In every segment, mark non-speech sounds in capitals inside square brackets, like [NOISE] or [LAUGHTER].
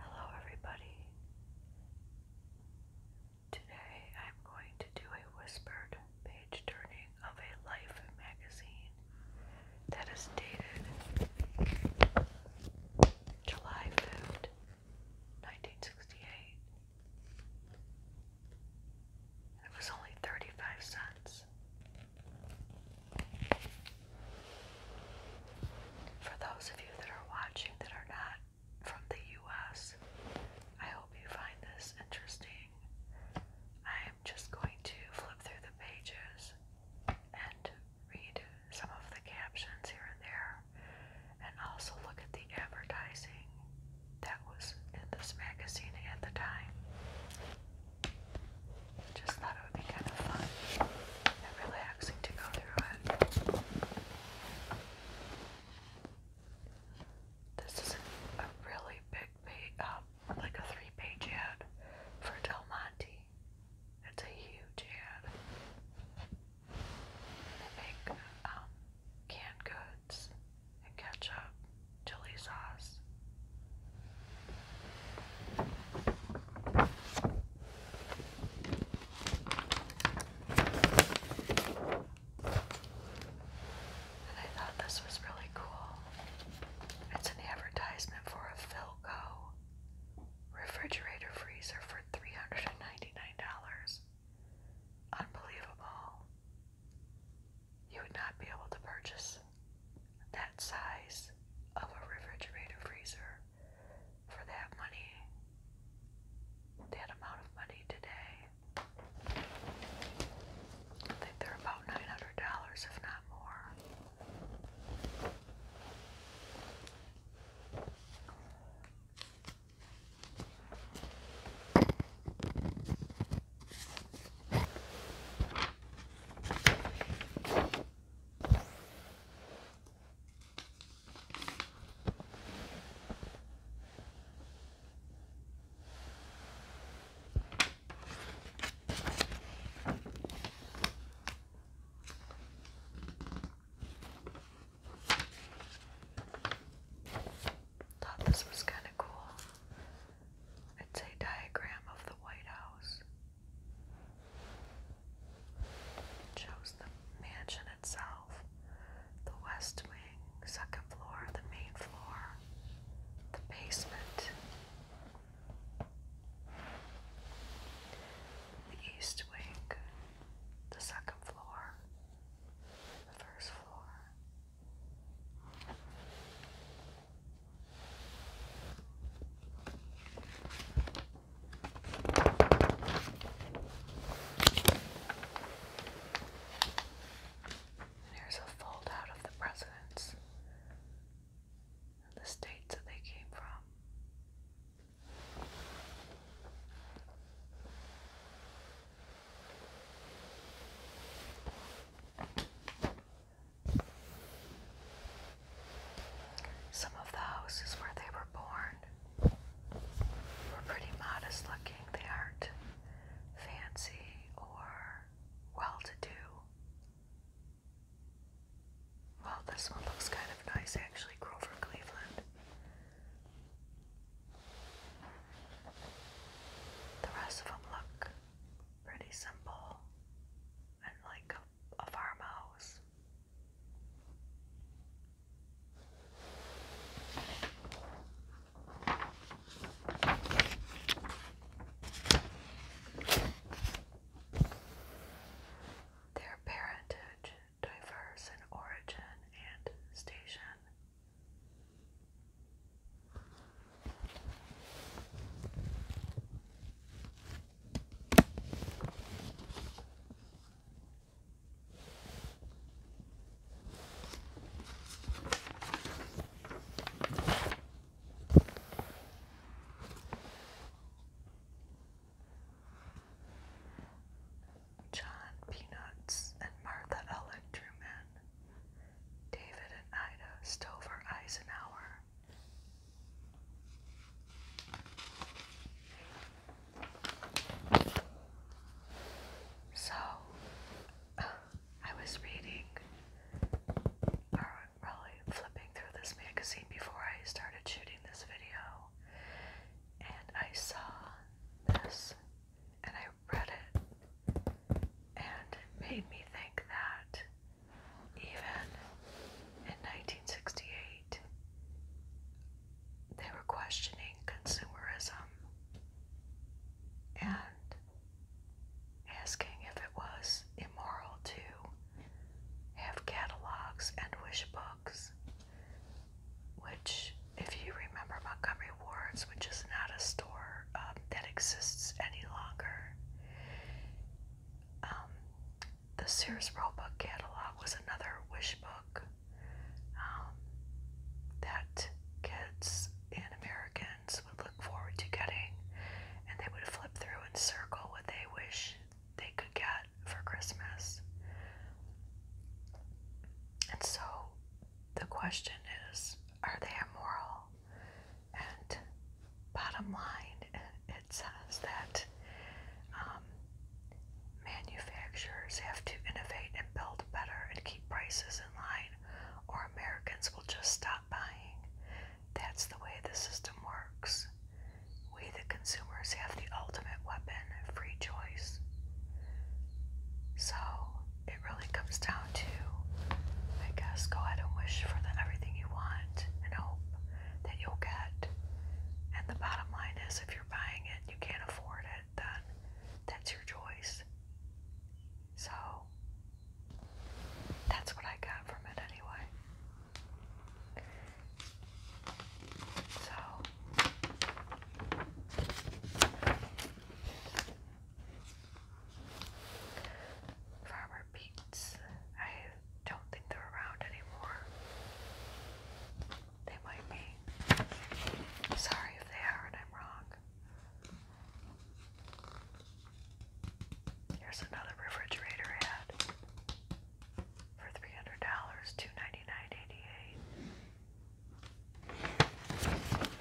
Hello, everybody. Today I'm going to do a whispered page turning of a Life magazine that is dated July 5th, 1968. It was only 35 cents. For those of you that are watching that are not from the US, I hope you find this interesting. I am just going to flip through the pages and read some of the captions here and there, and also look at the advertising that was in this magazine at the time. Just thought it would be kind of fun and relaxing to go through it. This is a really big page, um, like a three page ad for Del Monte. It's a huge ad. They make um, canned goods and ketchup, chili sauce. I thought this was really cool. It's an advertisement for a Philco refrigerator freezer for $399. Unbelievable. You would not be able to purchase that size of a refrigerator freezer for that money, that amount of money today. I think they're about $900, if not more. Thought this was kind of cool. It's a diagram of the White House chose the mansion itself, the west wing, second floor, the main floor, the basement, the east wing, the second floor, the first floor. And here's a fold out of the presidents and the states that they came from. Some of the houses where they were born were pretty modest looking. They aren't fancy or well to do. Well, this one looks kind of nice actually, Grover Cleveland. The rest of them look pretty simple and like a farmhouse. Their parentage diverse in origin and station. John Peanuts and Martha Ellen David and Ida Stover Eisenhower, so, I was reading or really flipping through this magazine before I started shooting this video, and I saw this and I read it, and it made me think that even in 1968, they were questioning consumerism and asking if it was immoral to have catalogs and wish books, which, if you remember Montgomery Ward's, which is not a store um, that exists any longer, um, the Sears Roebuck catalog was another wish book um, that kids in Americans would look forward to getting, and they would flip through and circle what they wish they could get for Christmas. And so the question is are they immoral? And bottom line, it says that um, manufacturers have to innovate and build better and keep prices in line, or Americans will just stop buying. That's the way the system works. We, the consumers, have the ultimate weapon free choice. So it really comes down to, I guess, go ahead and wish for the, everything you want and hope that you'll get. And the bottom line is if you're buying it, you can't afford it, then that's your choice. So that's what I got from it anyway. So Farmer Beats. I don't think they're around anymore. They might be. Sorry if they are and I'm wrong. Here's another refrigerator ad for $300, two ninety nine eighty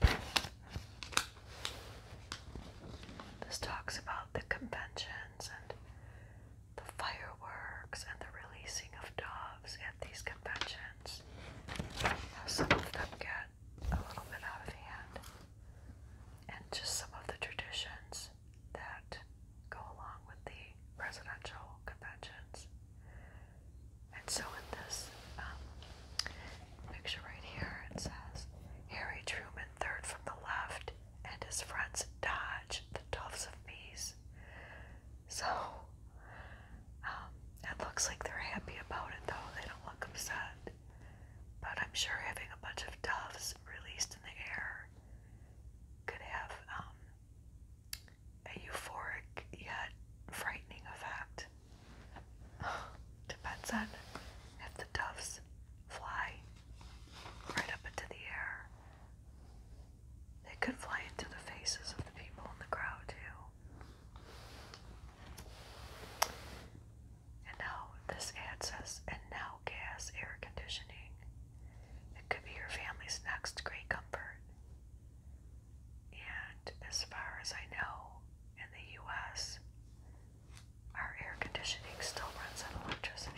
eight. This talks about the conventions and the fireworks and the releasing of doves at these conventions. How some of them get a little bit out of hand, and just some of the traditions that go along with the presidential conventions. And so, in this um, picture right here. It says Harry Truman, third from the left, and his friends dodge the doves of peace. So, um, it looks like they're happy about it though. They don't look upset. But I'm sure having a bunch of doves released in the air could have um, a euphoric yet frightening effect. Depends [SIGHS] on if the doves fly right up into the air. They could fly into the faces of the people in the crowd, too. And now this ad says, and now gas air conditioning. It could be your family's next great comfort. And as far as I know, in the U.S., our air conditioning still runs on electricity.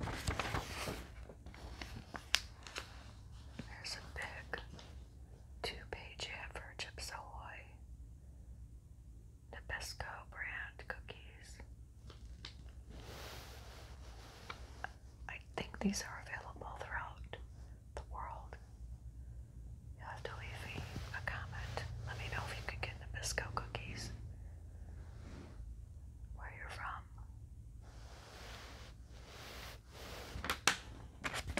There's a big two-page ad for Chips Ahoy Nabisco brand cookies. I think these are available throughout the world. You'll have to leave me a comment. Let me know if you can get the Bisco cookies. Where you're from.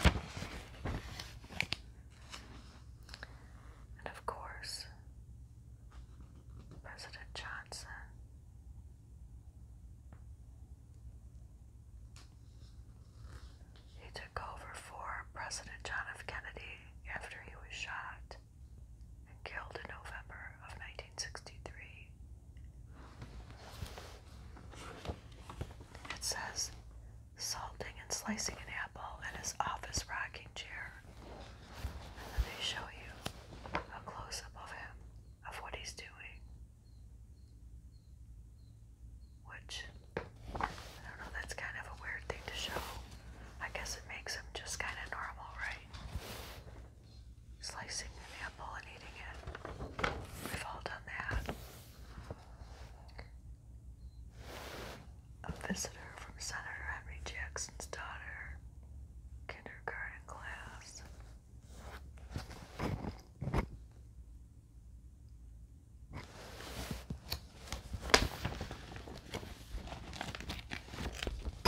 And of course, President Johnson. He took over for President John F. Kennedy after he was shot and killed in November of 1963. It says, salting and slicing an apple in his office rocking chair. And then they show you a close up of him, of what he's doing. Which, I don't know, that's kind of a weird thing to show. I guess it makes them just kind of normal, right? Slicing an apple and eating it. We've all done that. A visitor from Senator Henry Jackson's daughter, kindergarten class.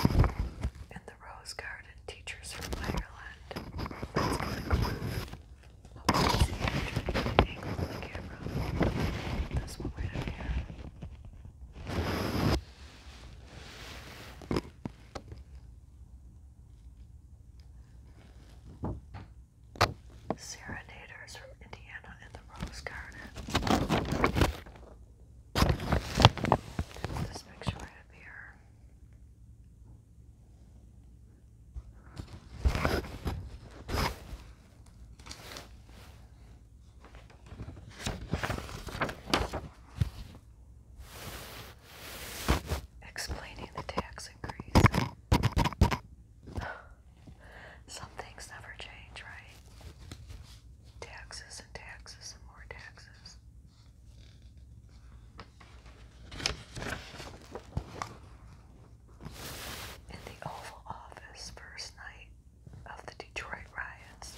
In the Rose Garden, teachers from Ireland. Let's click one. Hopefully, see you trying to angle of the camera. This one right over here. Serenaders from Indiana and the Rose Garden. This picture right up here. Explaining the tax increase. [GASPS] Some things never change, right? Taxes and taxes and more taxes. In the Oval Office, first night of the Detroit riots.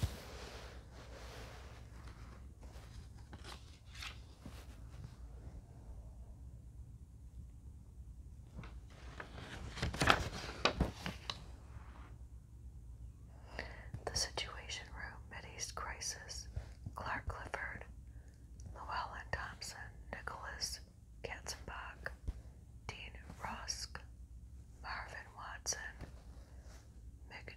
The Situation Room Mideast Crisis, Clark Clifford, Llewellyn Thompson, Nicholas Katzenbach, Dean Rusk, Marvin Watson, Mick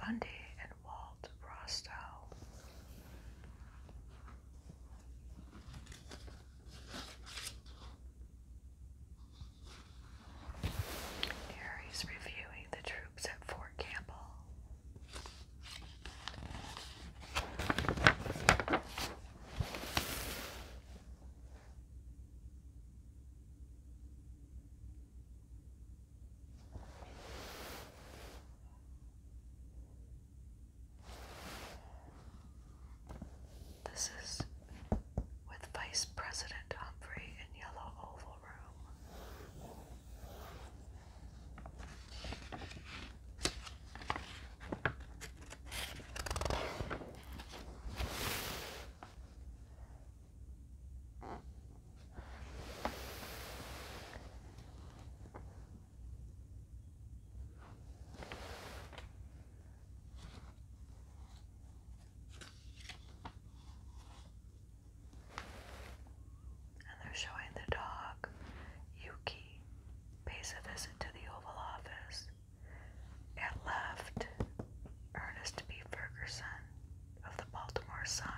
Bundy, and Walt Rostow. Aries reviewing the troops at Fort Campbell. This is with Vice President Humphrey in Yellow Oval Room. And they're showing the dog, Yuki, pays a visit to the Oval Office. and left, Ernest B. Ferguson of the Baltimore Sun.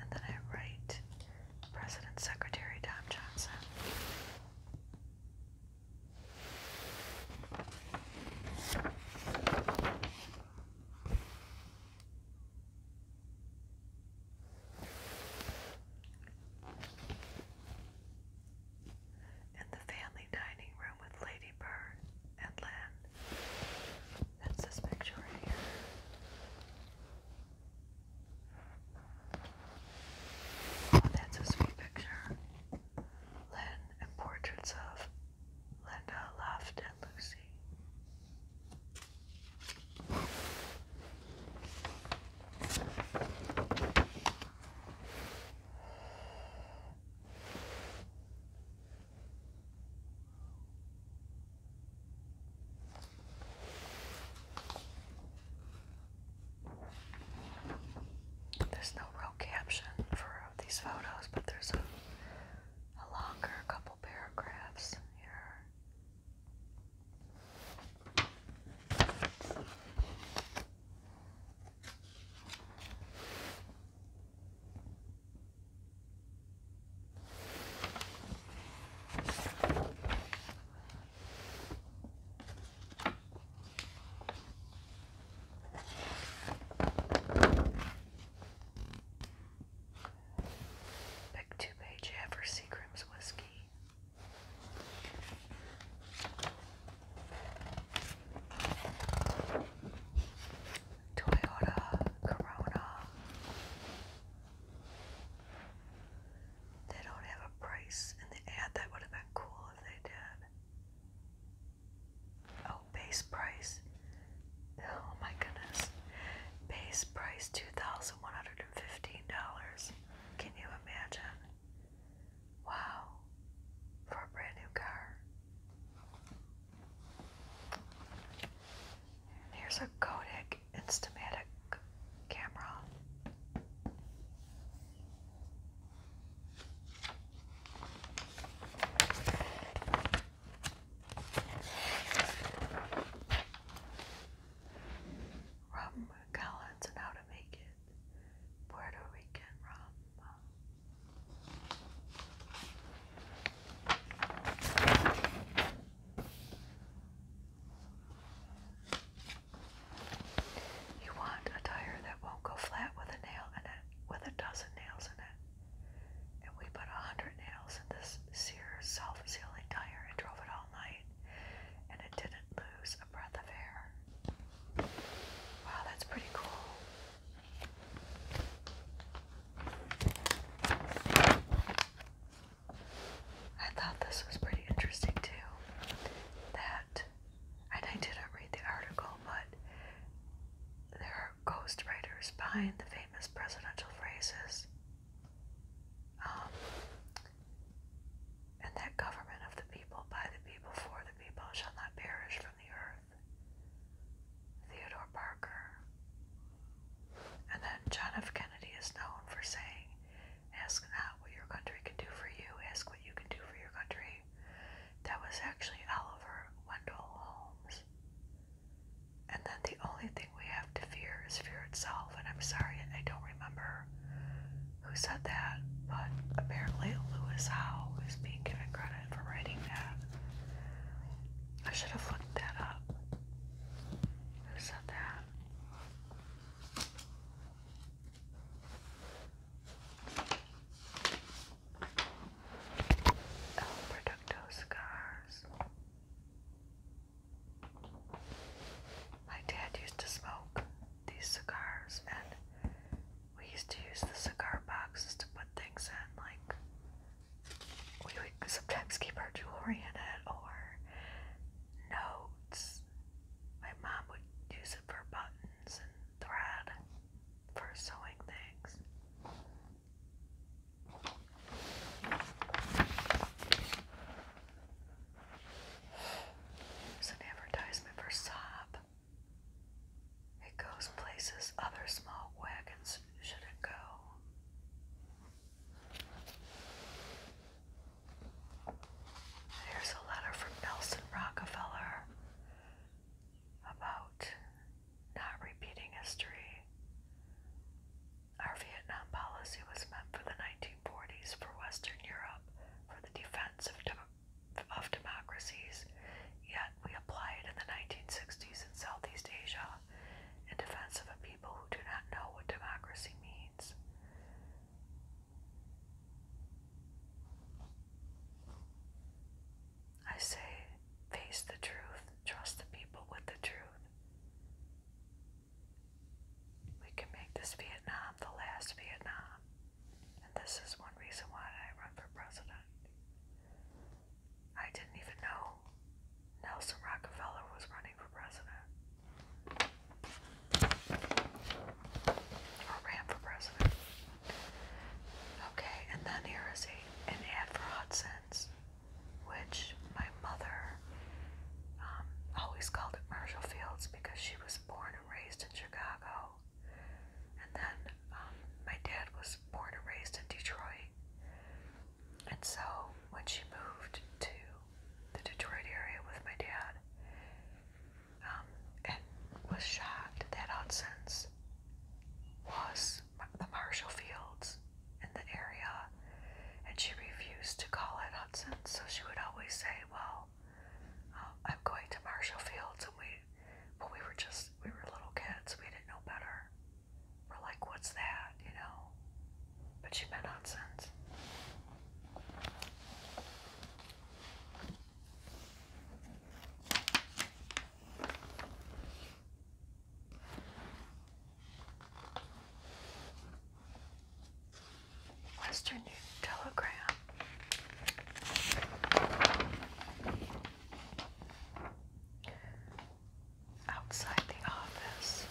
And then at right, President Secretary Tom Johnson. In the family dining room with Lady Bird and Lynn. That's this picture right here. That's a sweet picture. Len and portraits of Linda, Luft, and Lucy. There's no real caption for these photos, but there's a, longer couple paragraphs here. Pick two page ever Seagram's whiskey. Toyota Corona they don't have a price in the ad. That would have been cool if they did. Oh, base price. Oh my goodness. Base price $2,115. Can you imagine? Wow. For a brand new car. Here's a Kodak Instamatic camera. Rum Collins and how to make it. Puerto Rican rum. You want a tire that won't go flat with a nail in it, with a dozen nails in it. And we put a hundred nails in this sear self-sealing tire and drove it all night. And it didn't lose a breath of air. Wow, that's pretty cool. I thought this was pretty interesting too. That, and I didn't read the article, but there are ghostwriters behind the famous presidential phrases. Um, and that government of the people, by the people, for the people, shall not perish from the earth. Theodore Parker, and then John F. Kennedy is known for saying, Ask not what your country can do for you, ask what you can do for your country. That was actually Oliver Wendell Holmes. And then the only thing we have to fear is fear itself. And I'm sorry, I don't remember who said that, but apparently Lewis Howe is being given credit for writing that. I should have looked that up. Who said that? El oh, Producto Cigars. My dad used to smoke these cigars, and we used to use the cigar boxes to put things in, like we would sometimes keep our jewelry in it or notes. My mom would use it for buttons and thread for sewing things. There's an advertisement for Sob. It goes places other small wagons shouldn't go. Here's a letter from Nelson Rockefeller about not repeating history. Our Vietnam policy was meant for the 1940s for Western Europe for the defense of, of democracies, yet we applied it in the 1960s in Southeast Asia in defense of a people who do not know what democracy means. I say, face the truth, trust the people with the truth. We can make this Vietnam the last Vietnam, and this is one reason why I run for president. I didn't even know Nelson Rockefeller was running for president. Or ran for president. Okay, and then here is a, an ad for Hudson's, which my mother um, always called it Marshall Fields because she was born and raised in Chicago. And then um, my dad was born and raised in Detroit. And so when she moved to the Detroit area with my dad, um, and was shocked that Hudson's was the Marshall Fields in the area, and she refused to call it Hudson's, so she would always say, "Well, um, I'm going to Marshall Fields," and we, but we were just we were little kids, we didn't know better. We're like, what's that, you know? But she meant nonsense. Western Union Telegram outside the office.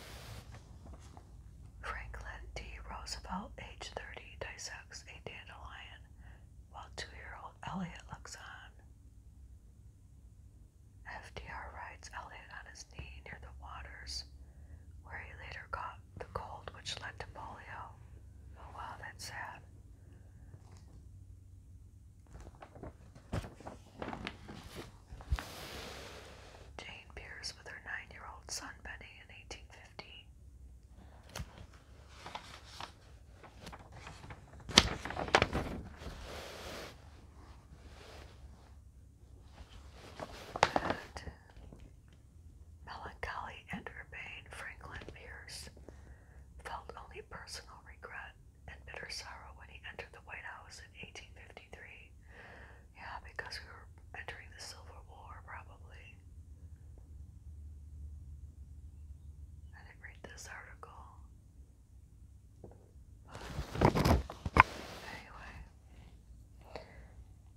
Franklin D. Roosevelt, age 30, dissects a dandelion while two year old Elliot looks on. FDR rides Elliot on his knee near the waters, where he later caught the cold which led to polio. Oh wow, that's sad. Jane Pierce with her nine year old son Benny in 1850. melancholy and Franklin Pierce felt only personal regret and bitter sorrow when he entered the White House in 1853. Yeah, because we were entering the Civil War, probably. I didn't read this article. But anyway.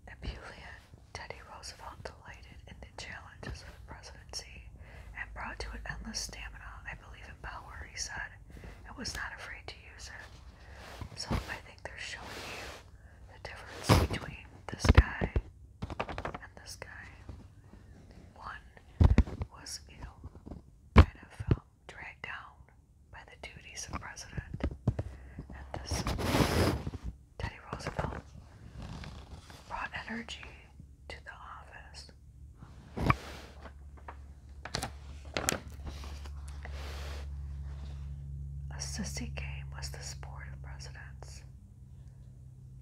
Ebullient, Teddy Roosevelt delighted in the challenges of the presidency and brought to it endless stamina. I believe power, he said, and was not afraid to use it. So I think they're showing you the difference between this guy and this guy. One was, you know, kind of um, dragged down by the duties of president, and this Teddy Roosevelt brought energy to the office a sissy game was the sport of presidents.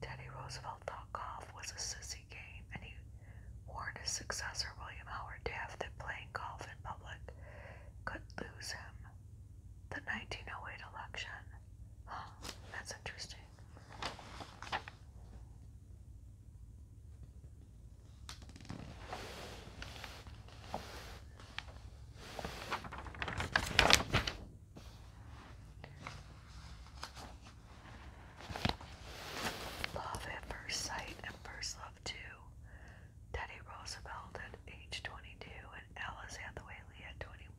Teddy Roosevelt thought golf was a sissy game, and he warned his successor, William Howard Taft, that playing golf in public could lose him. The 1908 election. that's interesting. Love at First Sight and First Love too. Teddy Roosevelt at age 22 and Alice Hathaway Lee at 21.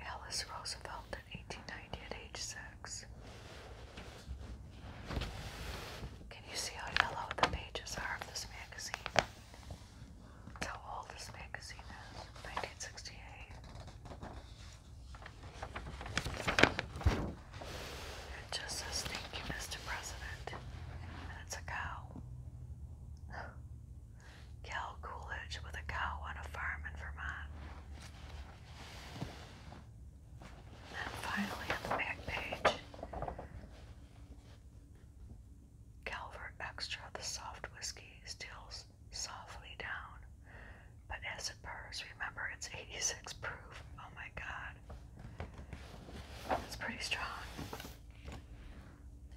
Alice Roosevelt in 1890 at age 6. Can you see how yellow the pages are of this magazine? how old this magazine is, 1968. It just says thank you, Mr. President. it's a cow. [SIGHS] Cal Coolidge with a cow on a farm in Vermont. And finally on the back page, Calvert Extra, the soft whiskey, steals softly down. But as it purrs, remember it's 86 proof. Oh my god. It's pretty strong.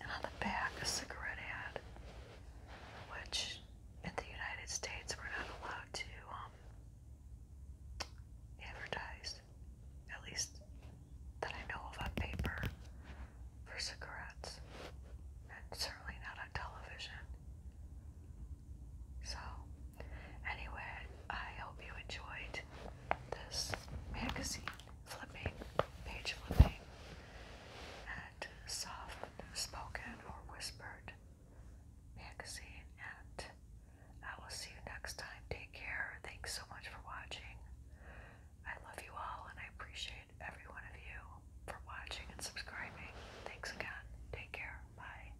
And on the back, a cigarette ad, which in the United States we're not allowed to um, advertise, at least that I know of on paper, for cigarettes, and certainly not on television. So, anyway, I hope you enjoyed this magazine flipping, page flipping, and soft spoken or whispered magazine. And I will see you next time. Take care. Thanks so much for watching. I love you all, and I appreciate every one of you for watching and subscribing. Thanks again. Take care. Bye.